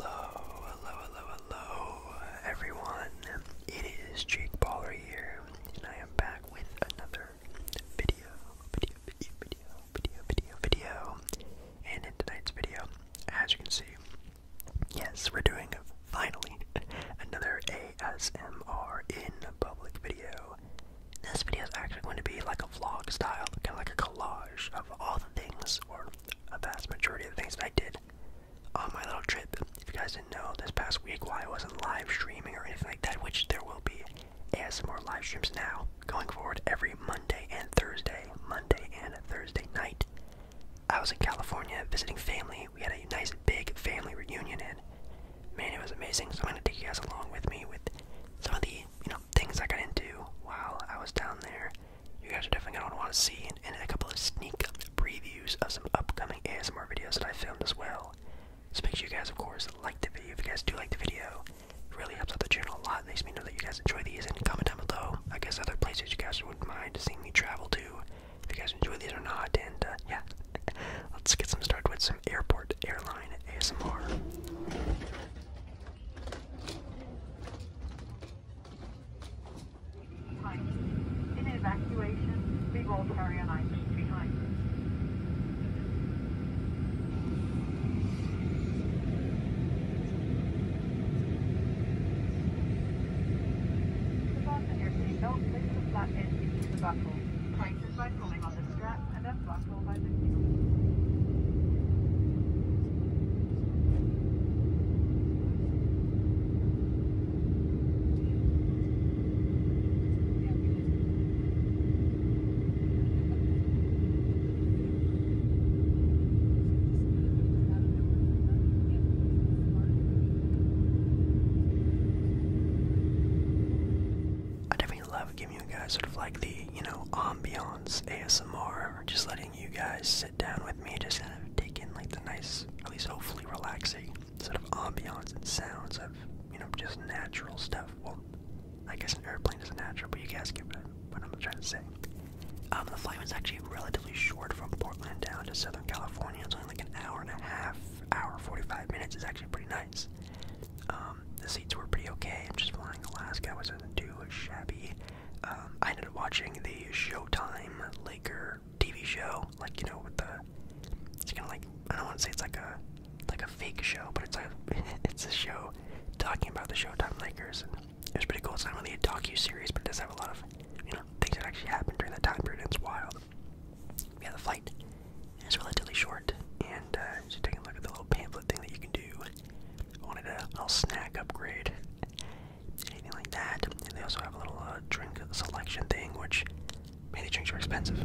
Hello, hello, hello, hello, everyone. It is Jake Baller here, and I am back with another video, video, video, video, video, video, video. And in tonight's video, as you can see, yes, we're doing finally another ASMR in public video. This video is actually going to be like a vlog style, kind of like a collage of all the things or a vast majority of the things that I did on my little trip. If you guys didn't know, this past week why I wasn't live streaming or anything like that, which there will be as more live streams now going forward every Monday and Thursday, Monday and Thursday night. I was in California visiting family. We had a nice big family reunion and man, it was amazing. So I'm gonna take you guys along with me with some of the you know things I got into while I was down there. You guys are definitely going to want to see, and, a couple of sneak previews of some upcoming ASMR videos that I filmed as well. So make sure you guys, of course, like the video. If you guys do like the video, it really helps out the channel a lot. It makes me know that you guys enjoy these, and comment down below, I guess, other places you guys wouldn't mind seeing me travel to. If you guys enjoy these or not, and uh, yeah, let's get some started with some airport airline ASMR. In evacuation, we will carry an item behind. Fasten your seatbelt, place the flat end into the buckle. Tighten by pulling on the strap and unbuckle. I definitely love giving you guys sort of like the, you know, ambiance ASMR just letting you guys sit down with me, just kind of take in like the nice, at least hopefully relaxing sort of ambiance and sounds of, you know, just natural stuff. Well, I guess an airplane is natural, but you guys get what, I'm trying to say. Um, the flight was actually relatively short from Portland down to Southern California. It's only like an hour and a half, hour 45 minutes. It's actually pretty nice. Um, um, the seats were pretty okay. I'm just flying Alaska wasn't too shabby. Um, I ended up watching the Showtime Laker TV show, like you know, with the it's kind of like I don't want to say it's like a like a fake show, but it's like it's a show talking about the Showtime Lakers, and it was pretty cool. It's not really a docu series, but it does have a lot of you know things that actually happened during that time period. it's wild. Yeah, the flight is relatively short, and uh, so take a look at the little pamphlet thing that you can do. I wanted a little snack upgrade, anything like that. And they also have a little uh, drink selection thing, which man, these drinks are expensive.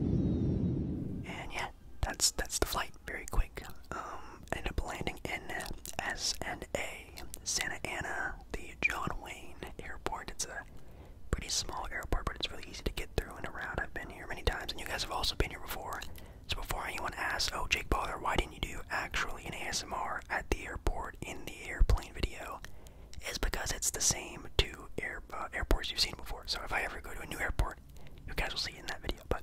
And yeah, that's that's the flight. Very quick. Um, ended up landing in SNA, Santa Ana, the John Wayne Airport. It's a pretty small airport, but it's really easy to get through and around. I've been here many times, and you guys have also been here before. So before anyone asks, oh Jake Baller, why didn't you do actually an ASMR at the airport in the airplane video? is because it's the same two uh, airports you've seen before. So if I ever go to a new airport, you guys will see in that video. But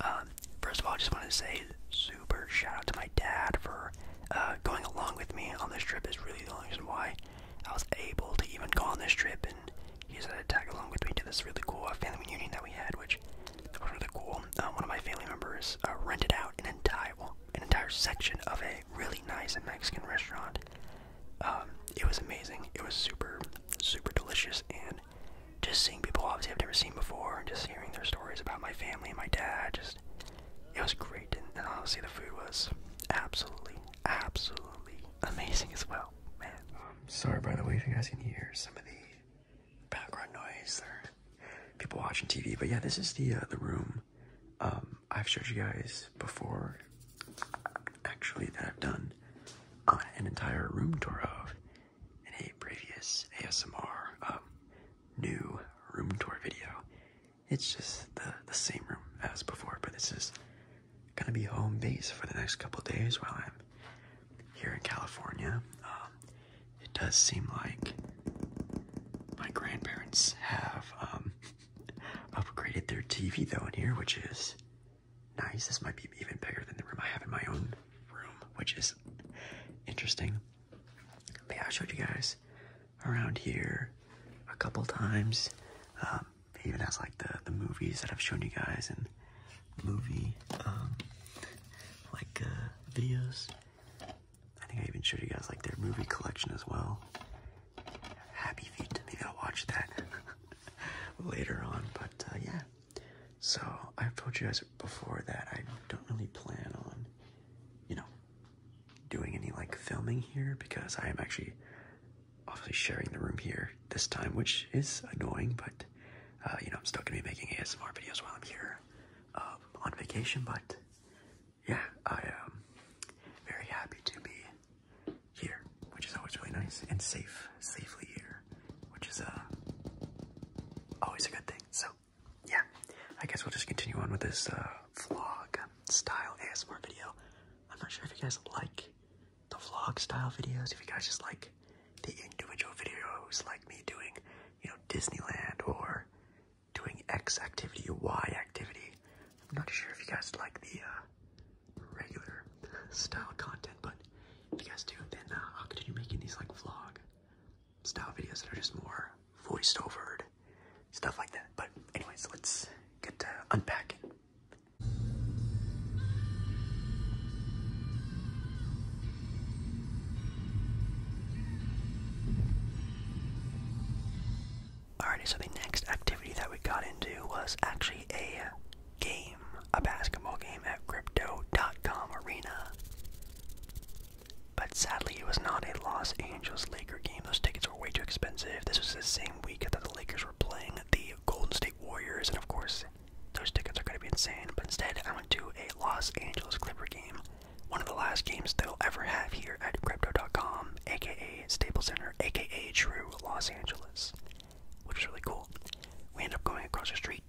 um, first of all, I just want to say super shout out to my dad for uh, going along with me on this trip. Is really the only reason why I was able to even go on this trip, and he's had to tag along with me to this really cool uh, family reunion that we had, which was really cool. Um, one of my family members uh, rented out an entire an entire section of a really nice Mexican restaurant. Um, it was amazing. It was super, super delicious, and just seeing people obviously I've never seen before, and just hearing their stories about my family and my dad, just it was great. And, and honestly, the food was absolutely, absolutely amazing as well. Man, um, sorry by the way if you guys can hear some of the background noise or people watching TV, but yeah, this is the uh, the room um, I've showed you guys before, actually, that I've done uh, an entire room tour of in a previous ASMR um, new room tour video. It's just the, the same room as before, but this is gonna be home base for the next couple days while I'm here in California. Um, it does seem like my grandparents have upgraded their TV though in here, which is nice. This might be even bigger than the room I have in my own room, which is interesting. yeah, I showed you guys around here a couple times. Um, even has like the, the movies that I've shown you guys and movie um, like uh, videos. I think I even showed you guys like their movie collection as well. Happy Feet, maybe I'll watch that later on, but uh, yeah. So I've told you guys before that I don't really plan on, you know, doing any like filming here because I am actually obviously sharing the room here this time, which is annoying, but uh, you know, I'm still gonna be making ASMR videos while I'm here uh, on vacation, but yeah, I am very happy to be here, which is always really nice and safe, safely here, which is uh, always a good thing. So, yeah, I guess we'll just continue on with this uh, vlog style ASMR video. I'm not sure if you guys like the vlog style videos, if you guys just like the individual videos, like me doing, you know, Disneyland or doing X activity, Y activity. I'm not sure if you guys like the uh, regular style content, but if you guys do, then I'll uh, continue making these like vlog style videos that are just more voiced overed, stuff like that. But anyways, let's get to unpacking. Alrighty, so the next activity that we got into was actually a game, a basketball game at Crypto.com Arena. But sadly, it was not a Los Angeles Laker game. Those tickets were way too expensive. This was the same week that the Lakers were playing the Golden State Warriors, and of course, those tickets are going to be insane. But instead, I went to a Los Angeles Clipper game one of the last games they'll ever have here at Crypto.com, aka Staples Center, aka True Los Angeles, which is really cool. We end up going across the street.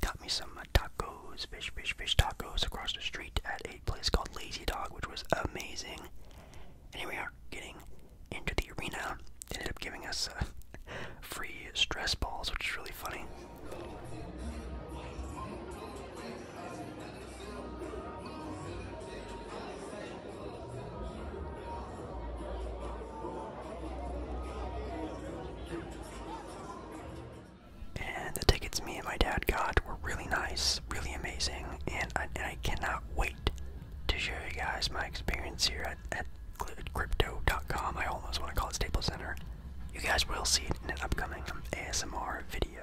Got me some tacos, fish, fish, fish tacos across the street at a place called Lazy Dog, which was amazing. And here we are getting into the arena. They ended up giving us uh, free stress balls, which is really funny. And the tickets me and my dad got were really nice, really amazing, and I, cannot wait to show you guys my experience here at, at crypto.com. I almost want to call it Staples Center. You guys will see it in an upcoming ASMR video.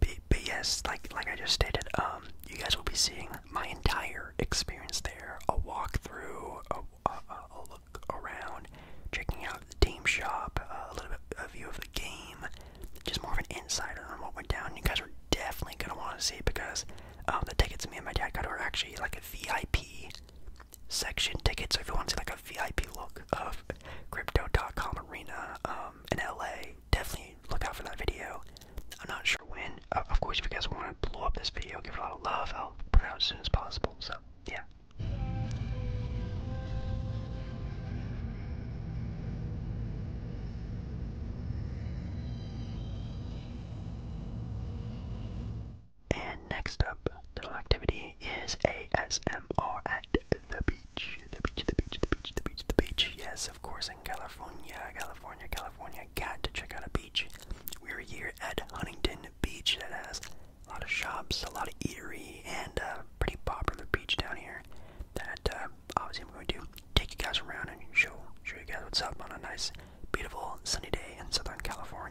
But, like like I just stated, um, you guys will be seeing my entire experience there, a walkthrough, a, a, look around, checking out the team shop, uh, a little bit of view of the game, just more of an insider on what went down. You guys are definitely gonna want to see because um, the tickets me and my dad got are actually like a VIP section tickets. So if you want to see like a VIP look of com Arena um, in LA, definitely look out for that video. I'm not sure when. of course, if you guys want to blow up this video, give a lot of love. I'll put it out as soon as possible. So yeah. And next up, the activity is ASMR at the beach. The beach, the beach, the beach, the beach, the beach. Yes, of course, in California, California, California. Got to check out a beach. We're here at Huntington Beach that has a lot of shops, a lot of eatery, and a pretty popular beach down here that uh, obviously I'm going to take you guys around and show, show you guys what's up on a nice Beautiful sunny day in Southern California.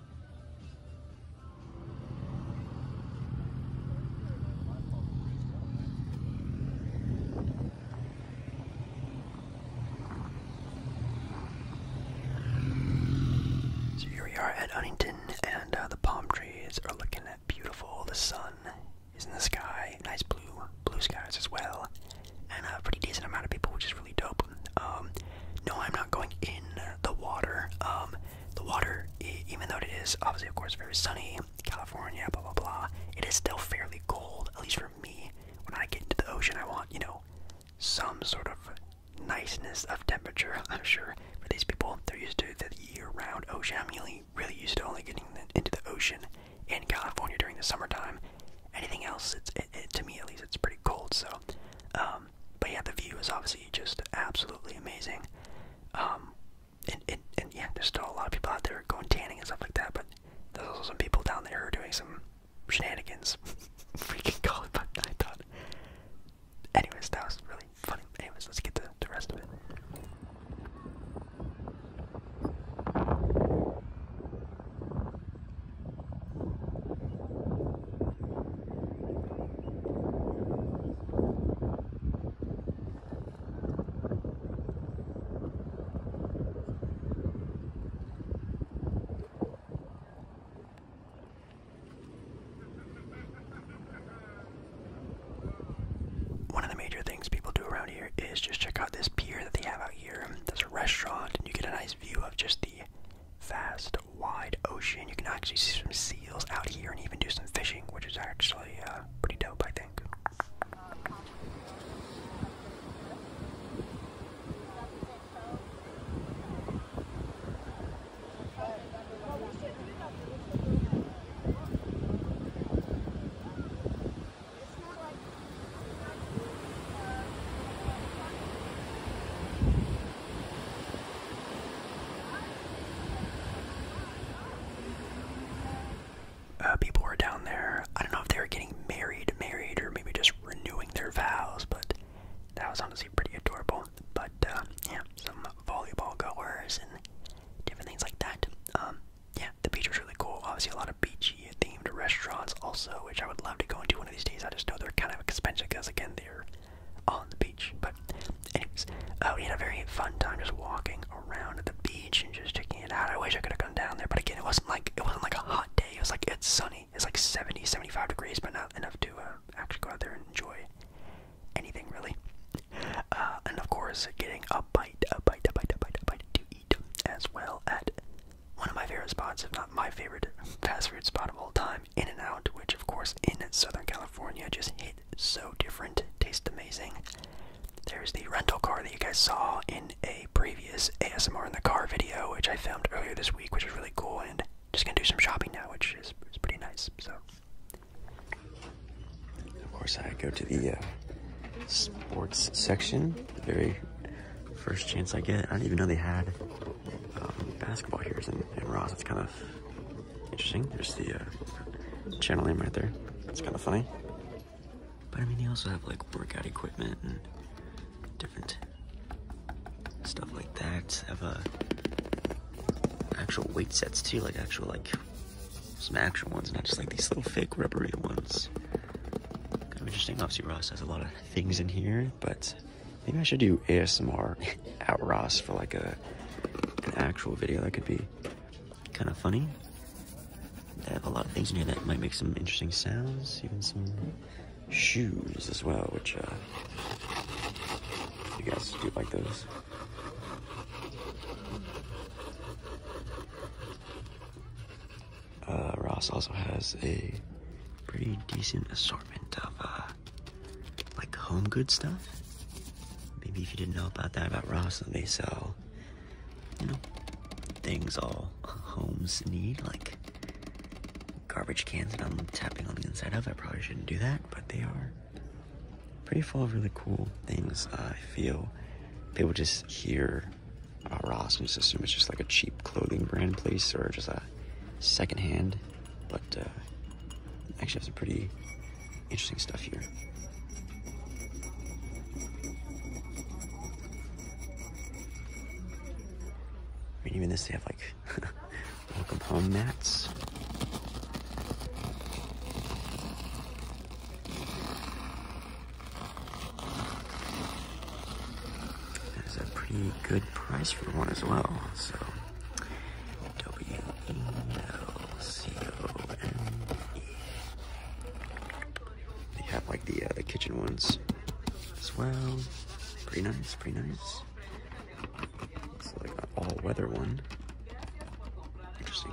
So here we are at Huntington, and uh, the palm trees are looking beautiful. The sun is in the sky, nice blue, blue skies as well, and a pretty decent amount of people, which is really dope. Um, no, I'm not going in the water. Um, the water, e even though it is obviously, of course, very sunny, California, blah blah blah, it is still fairly cold. At least for me, when I get into the ocean, I want you know some sort of niceness of temperature. I'm sure for these people, they're used to the year-round ocean. I'm really, really used to only getting into the ocean in California during the summertime. Anything else, it's it, it, to me at least, it's pretty cold. So, um, um, but yeah, the view is obviously just absolutely amazing. Um, and, yeah, there's still a lot of people out there going tanning and stuff like that, but there's also some people down there who are doing some shenanigans. we can call it, but I thought. Anyways, that was really funny. Anyways, let's get the rest of it. One of the major things people do around here is just check out this pier that they have out here. There's a restaurant, and you get a nice view of just the vast, wide ocean. You can actually see some seals out here and even do some fishing, which is actually uh, pretty dope, I think. Uh, people were down there. I don't know if they were getting married, married, or maybe just renewing their vows, but that was honestly pretty adorable. But uh, yeah, some volleyball goers and different things like that. Um, yeah, the beach was really cool. Obviously, a lot of beachy themed restaurants also, which I would love to go into one of these days. I just know they're kind of expensive because, again, they're on the beach. But, anyways, uh, we had a very fun time just walking around the beach and just checking it out. I wish I could have gone down there, but again, it wasn't like it wasn't like a hot day. It was like it's sunny. It's like 70, 75 degrees, but not enough to uh, actually go out there and enjoy anything really. Uh, and of course, getting a bite, a bite, a bite, a bite, a bite to eat as well at one of my favorite spots, if not my favorite fast food spot of all time, In and Out, which of course in Southern California just hit so different, tastes amazing. There's the rental car that you guys saw in a previous ASMR in the car video, which I filmed earlier this week, which is really cool, and just gonna do some shopping now, which is, pretty nice. So, of course, I go to the uh, sports section, very first chance I get. I don't even know they had um, basketball here in, Ross. It's kind of interesting. There's the uh, channel name right there. It's kind of funny. But I mean, they also have like workout equipment and different stuff like that. have uh, actual weight sets too, like actual like some actual ones, not just like these little fake rubbery ones. Kind of interesting. Obviously, Ross has a lot of things in here, but Maybe I should do ASMR at Ross for like a an actual video. That could be kind of funny. I have a lot of things in here that might make some interesting sounds, even some shoes as well, which uh, you guys do like those. Uh, Ross also has a pretty decent assortment of uh, like home good stuff. Maybe if you didn't know about that about Ross, they sell, you know, things all homes need, like garbage cans, and I'm tapping on the inside of. I probably shouldn't do that, but they are pretty full of really cool things. I feel people just hear about Ross and just assume it's just like a cheap clothing brand place or just a secondhand. But uh, actually, have some pretty interesting stuff here. I mean, even this, they have like welcome home mats. That is a pretty good price for one as well. So W E L C O N E. They have like the uh, the kitchen ones as well. Pretty nice, pretty nice. It's like an all-weather one. Interesting.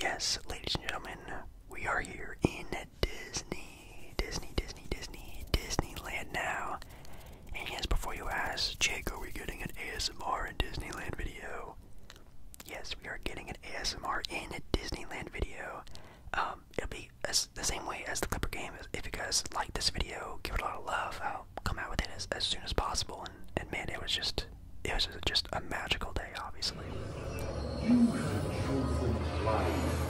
yes, ladies and gentlemen, we are here in Disney, Disney, Disney, Disney, Disneyland now. And yes, before you ask, Jake, are we getting an ASMR in Disneyland video? Yes, we are getting an ASMR in a Disneyland video. Um, it'll be the same way as the Clipper game. If you guys like this video, give it a lot of love. I'll come out with it as soon as possible and man, it was just it was just a magical day, obviously. You have chosen life.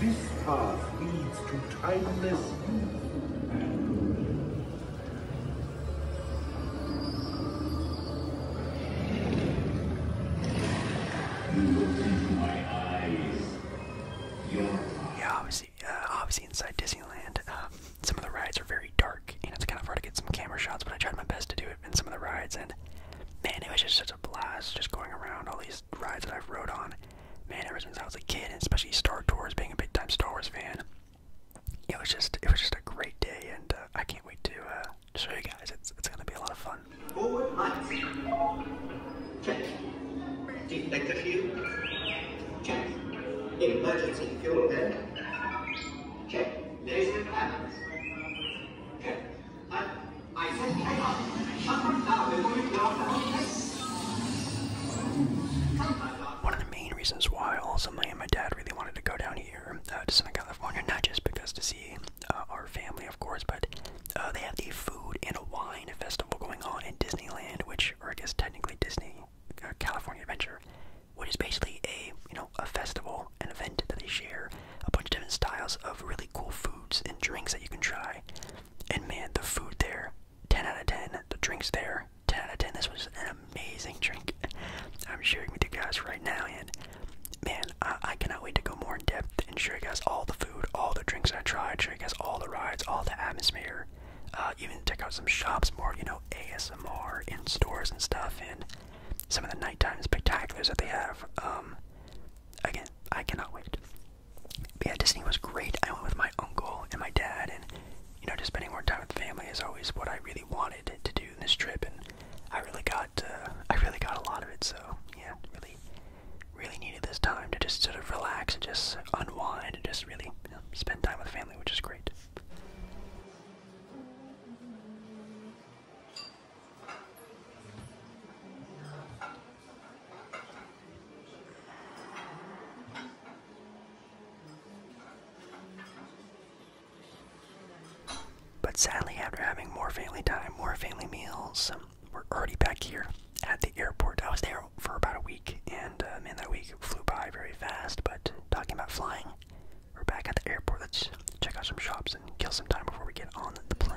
This path leads to timeless youth. Yeah, I was uh, obviously, inside Disneyland, um, some of the rides are very dark, and it's kind of hard to get some camera shots. But I tried my best to do it in some of the rides, and man, it was just such a blast just going around all these rides that I've rode on. Man, ever since I was a kid, and especially Star Tours, being a big time Star Wars fan, it was just it was just a great day, and uh, I can't wait uh, to show you guys. It's it's gonna be a lot of fun. I, I said check up. Shut them down before you go down. One of the main reasons why also my and my dad really wanted to go down here uh, to Southern California, not just because to see uh, our family, of course, but uh, they have the food and wine festival going on in Disneyland, which, or I guess technically Disney California Adventure, which is basically a you know a festival, an event that they share a bunch of different styles of really cool foods and drinks that you can try. And man, the food there, ten out of ten. The drinks there, ten out of ten. This was an amazing drink. I'm sharing with you guys right now, and man, I, cannot wait to go more in depth and share you guys all the food, all the drinks I tried, share you guys all the rides, all the atmosphere. Uh, even check out some shops more, you know, ASMR in stores and stuff, and some of the nighttime spectaculars that they have. Um, again, I cannot wait. yeah, Disney was great. I went with my uncle and my dad, and you know, just spending more time with family is always what I really wanted to do in this trip, and I really got, uh, I really got a lot of it. So yeah, really, really needed this time to just sort of relax and just unwind and just really spend time with family, which is great. But sadly, after having more family time, more family meals, we're already back here at the airport. I was there for about a week, and uh, man, that week flew by very fast. But talking about flying, we're back at the airport. Let's check out some shops and kill some time before we get on the plane.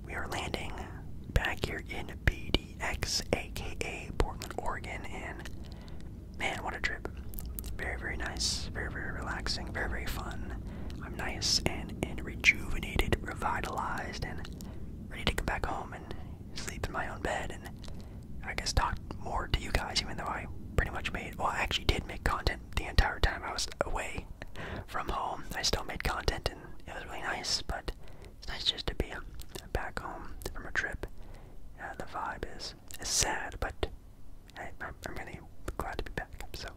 We are landing back here in BDX, aka Portland, Oregon, and man, what a trip! Very, very nice, very, very relaxing, very, very fun. I'm nice and, and rejuvenated, revitalized, and ready to come back home and sleep in my own bed and I guess talk more to you guys, even though I pretty much made well, I actually did make content the entire time I was away from home. I still made content it was really nice. But it's nice just to be um, back home from a trip. Uh, the vibe is sad, but I, I'm really glad to be back. So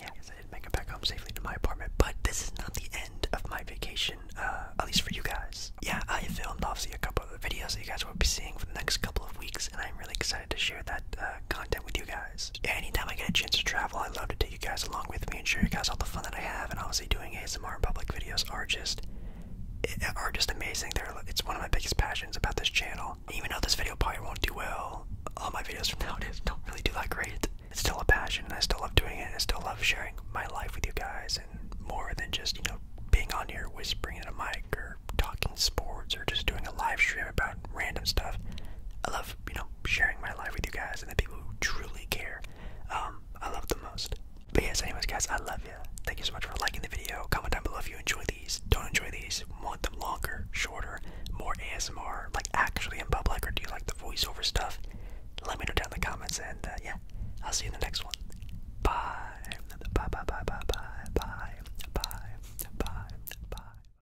yeah, I guess I did make it back home safely to my apartment. But this is not the end of my vacation, uh, at least for you guys. Yeah, I filmed obviously a couple of videos that you guys will be seeing for the next couple of weeks, and I'm really excited to share that uh, content with you guys. Anytime I get a chance to travel, I love to take you guys along with me and show you guys all the fun that I have. And obviously, doing ASMR and public videos are just are just amazing. it's one of my biggest passions about this channel. Even though this video probably won't do well, all my videos from nowadays don't really do that great. It's still a passion, and I still love doing it. And I still love sharing my life with you guys, and more than just you know being on here whispering in a mic or talking sports or just doing a live stream about random stuff. I love you know, sharing my life with you guys and the people who truly care. Um, I love the most. But yes, anyways, guys, I love you. Thank you so much for liking the video. Comment down below if you enjoy these. Don't enjoy these. Want them longer, shorter, more ASMR, like actually in public, or do you like the voiceover stuff? Let me know down in the comments, and uh, yeah, I'll see you in the next one. Bye. Bye. Bye. Bye. Bye. Bye. Bye. Bye. Bye.